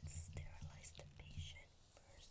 Let's sterilize the patient first.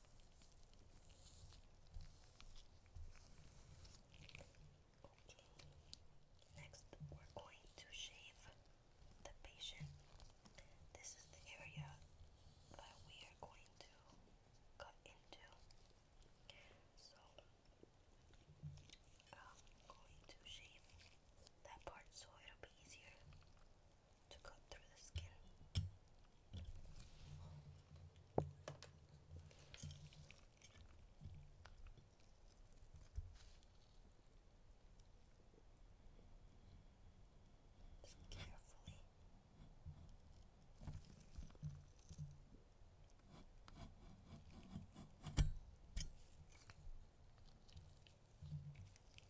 Okay. Next, we're going to shave the patient. This is the area that we are going to cut into. So, I'm going to shave that part so it'll be easier to cut through the skin. carefully.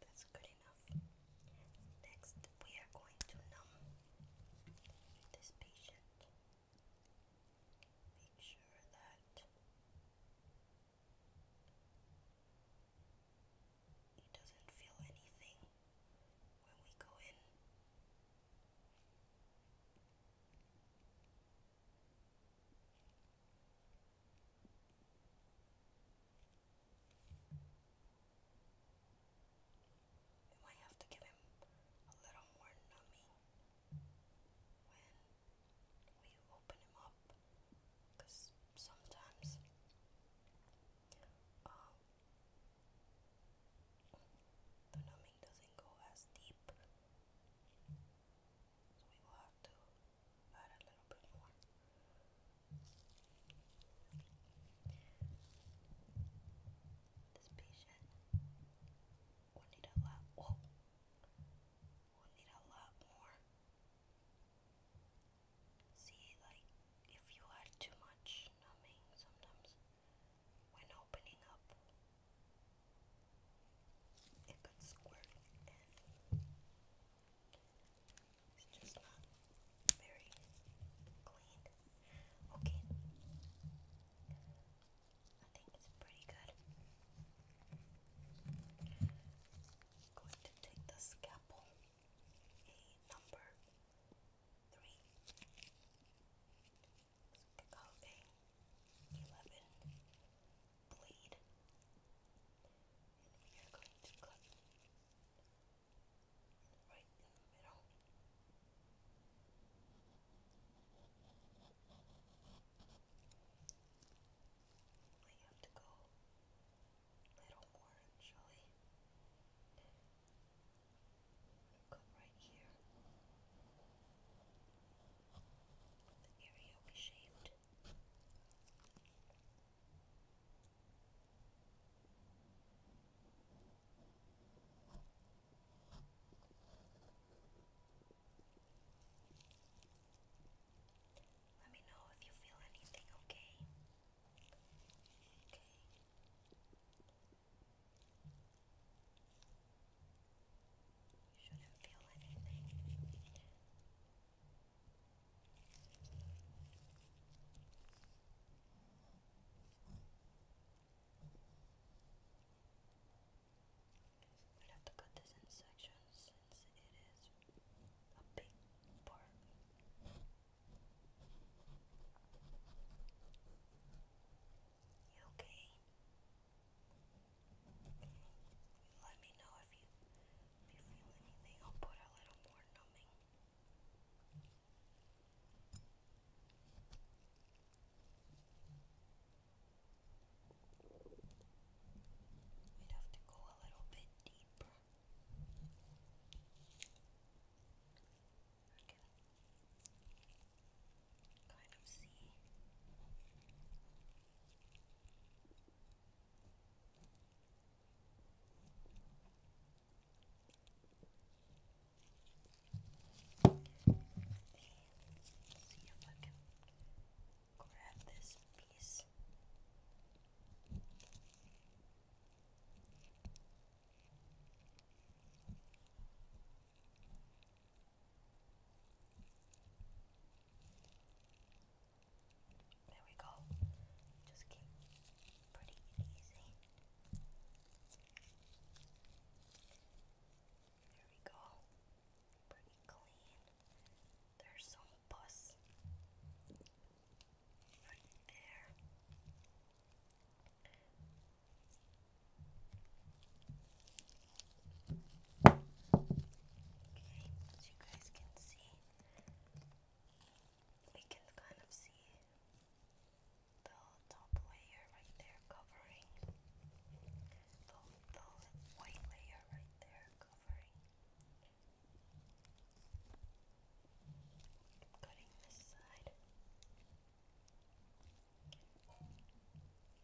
That's good enough. Next, we are going to numb this patient. Make sure that he doesn't feel anything when we go in. We might have to give him a little more numbing when we open him up because sometimes um, the numbing doesn't go as deep so we will have to add a little bit more. This patient will need a lot. Oh, will need a lot more. See, like if you add too much numbing, sometimes when opening up, it could squirt in. It's just not very clean. Okay. I think it's pretty good. going to take the scalpel, a number three. Okay. 11. Bleed. And we are going to cut right in the middle. We have to go a little more, shall Cut right here the Let me know if you feel anything, Okay. You shouldn't feel anything. We'll have to cut this in sections since it is a big part. You okay? Let me know if you feel anything. I'll put a little more numbing. We'd have to go a little bit deeper. Okay kind of see. Let's see if I can grab this piece. Okay. There we go. Just keep pretty easy. There we go. Pretty clean. There's some pus right there. Okay, as you guys can see, we can kind of see the top layer right there covering the, white layer right there covering. cutting this side.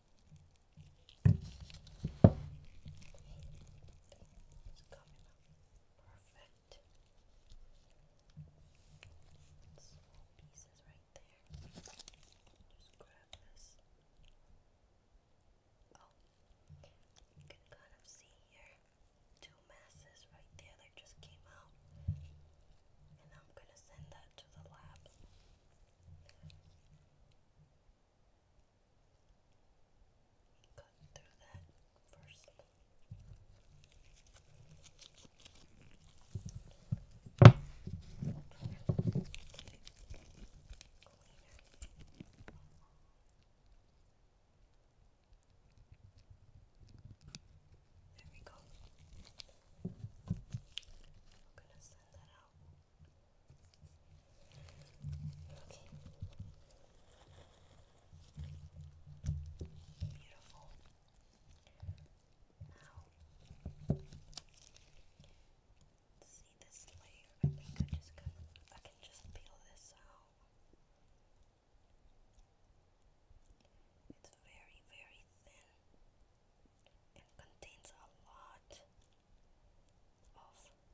It's perfect. Small pieces right there. Just grab this. Oh, you can kind of see here two masses right there that just came out. And I'm gonna send that to the lab. Cutting through that first. There we go. I'm going to send that out. Okay. Beautiful. see this layer. I think I just can, I can just peel this out. It's very, very thin and contains a lot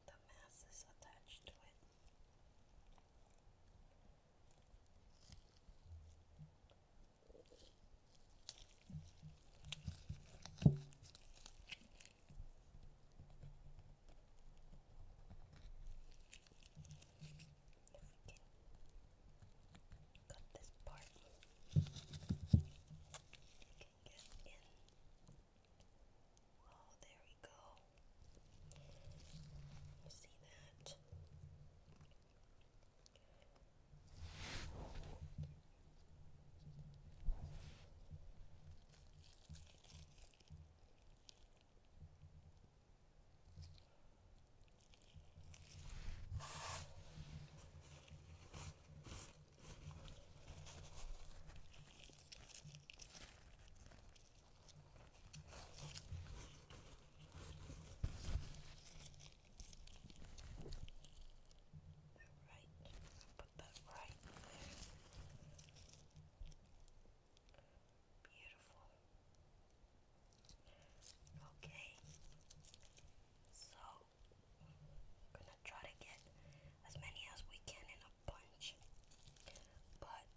of the masses attached to it. If this part, can Oh, there we go. You see that? Right, put that right there. Beautiful. Okay, so we're gonna try to get as many as we can in a bunch. But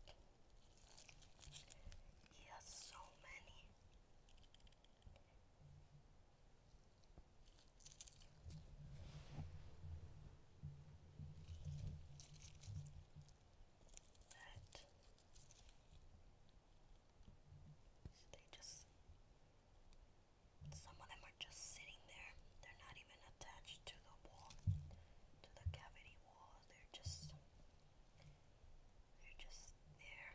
he has so many. That they just some of them are just sitting there. They're not even attached to the wall, to the cavity wall. They're just, they're just there.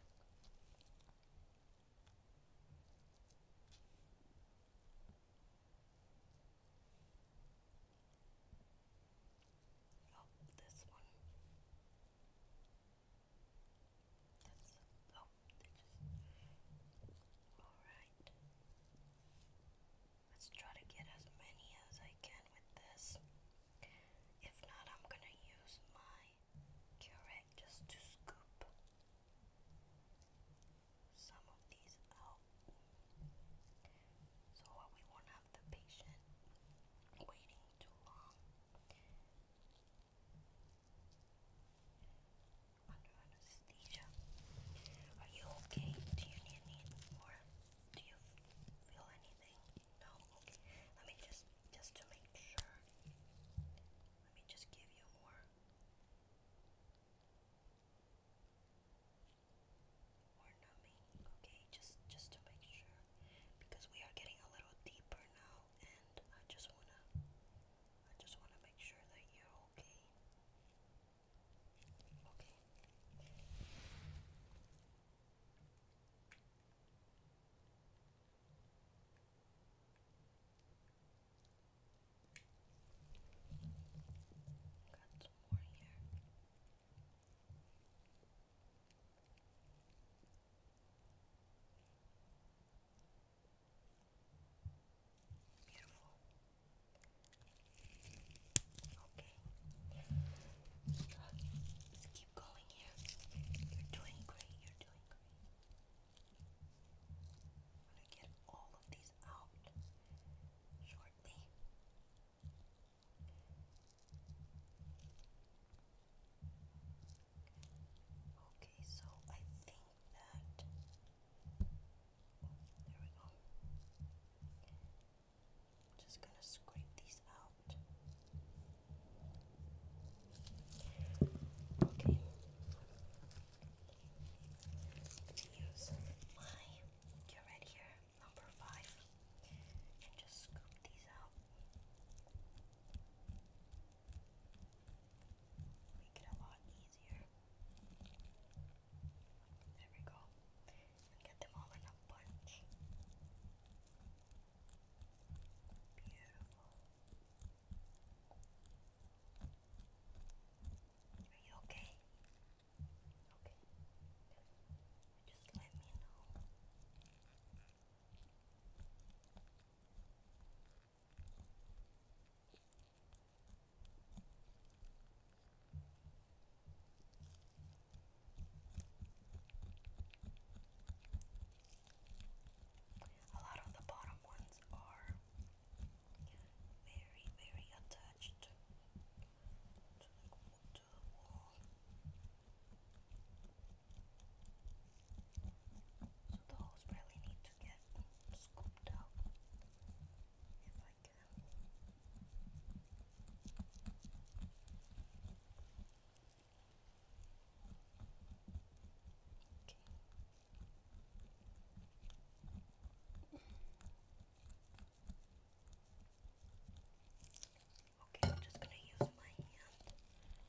Oh, this one. That's, oh, Alright. Let's try to get as many as I can with this. If not, I'm gonna use my curette just to scoop some of these out. So we won't have the patient waiting too long under anesthesia. Are you okay? Do you need more? Do you feel anything? No? Okay. Let me just, just to make sure, let me just give you more. More numbing, okay? Just, just to make sure, because we are getting a little deeper now, and I just wanna, I just wanna make sure that you're Okay. Okay. Got some more here. Beautiful. Okay. Let's keep going here. You're doing great. You're doing great. I'm going to get all of these out shortly. Okay, so I think that. There we go. Just gonna scrape these out. Okay. use my get right here, number five, and just scoop these out. Make it a lot easier. There we go. get them all in a bunch. Beautiful. Are you okay? Okay. Just let me know. A lot of the bottom ones are very, very attached to the wall. So the holes really need to get scooped out if I can. Okay, I'm just gonna use my hand,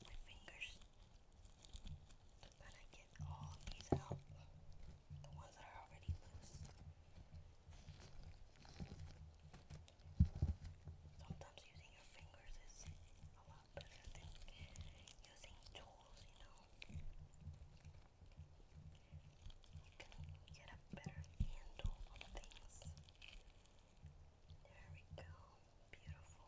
my fingers, but I can get all these out, the ones that are already loose. Sometimes using your fingers is a lot better than using tools, you know. You can get a better handle on things. There we go. Beautiful.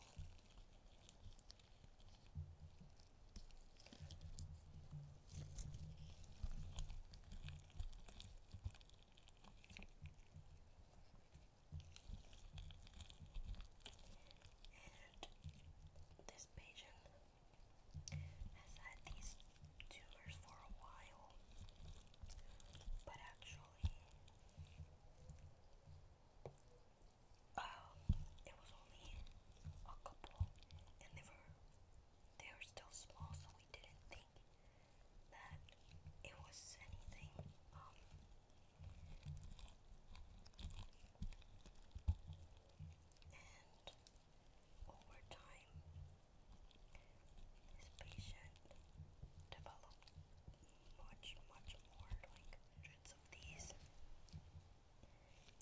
And this patient has had these tumors for a while, but actually uh, it was only a couple, and they were they were still small, so we didn't think that it was anything. Um, and over time, this patient developed much, much more, like hundreds of these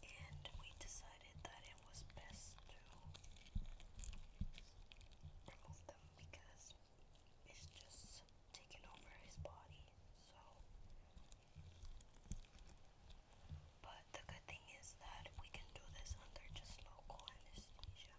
and we decided that it was best to remove them because it's just taken over his body. So, but the good thing is that we can do this under just local anesthesia.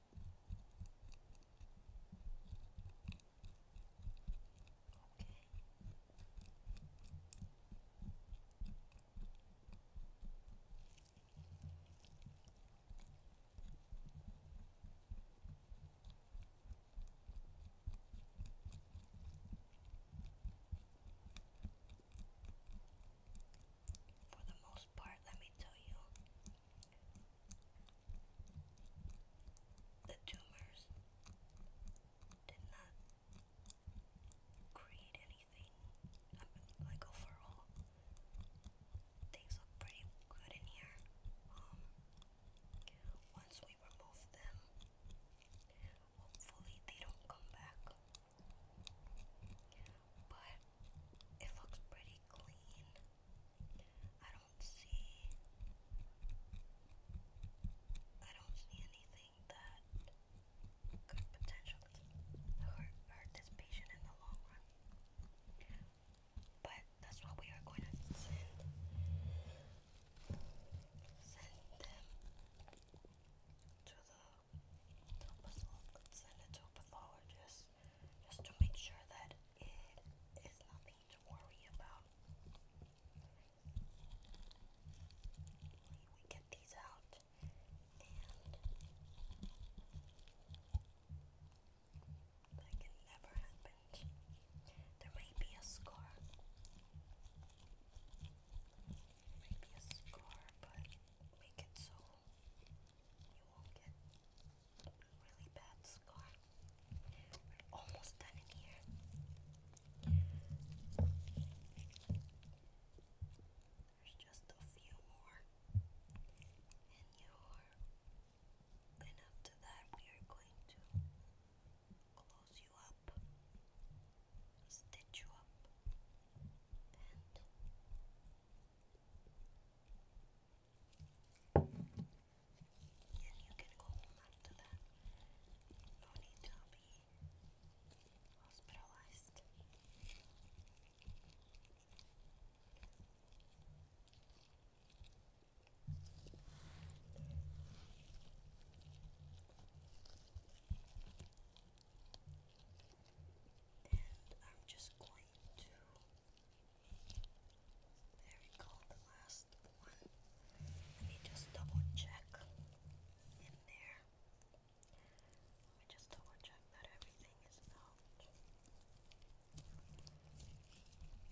For the most part, let me tell you, the tumors did not create anything. like overall, things look pretty good in here. Um, once we remove them, hopefully they don't come back. But it looks pretty clean. I don't don't see I don't see anything that could potentially hurt, this patient in the long run. But that's what we are going to send send them to the, to the pathologist just to make sure that it is nothing to worry about. We get these out and like it never happened. There may be a scar. Maybe a scar, but make it so you won't get really bad scar. We're almost done in here. There's just a few more. And after that, we are going to close you up, stitch you up, and and you can go home after that. No need to be hospitalized. And I'm just going to there we last one. Let me just double check in there. Let me just double check that everything is out.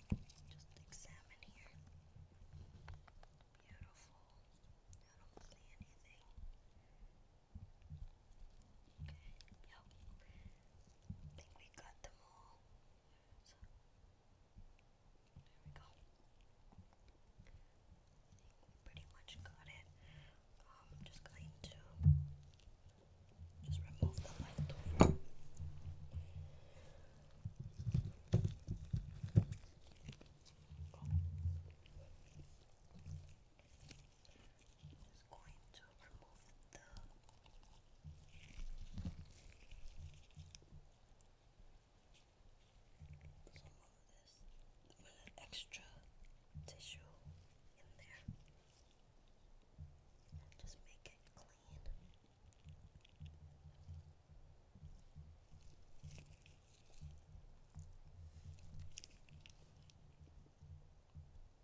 Just examine here. Beautiful. I don't see anything. Okay, yep. I think we got them all. So, there we go. I think we pretty much got it. Um, I'm just going to just remove the left just going to remove the some of this with an extra tissue in there just make it clean.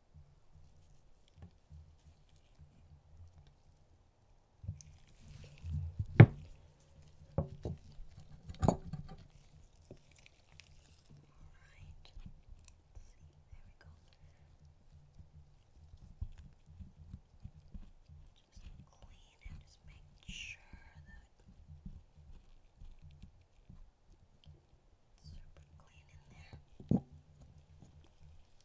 and just make sure that it's super clean in there. Okay.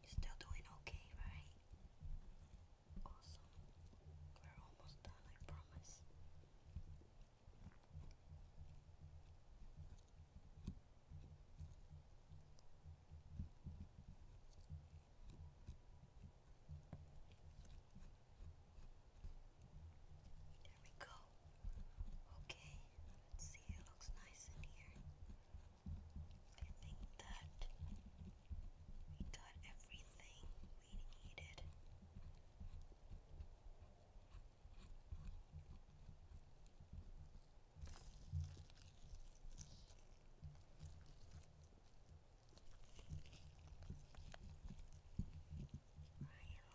You're still doing okay, right? Awesome. We're almost done, I promise. There we go. Okay, let's see, it looks nice in here. I think that we got everything we needed. Ryan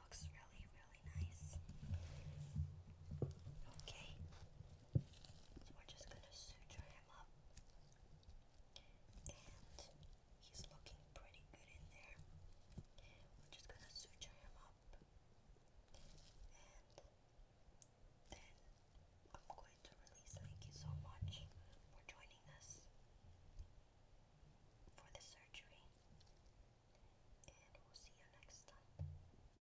looks really, really nice. Okay, we're just gonna suture him up. And he's looking pretty good in there. We're just gonna suture him up. And then I'm going to release. Thank you so much for joining us for the surgery. And we'll see you next time.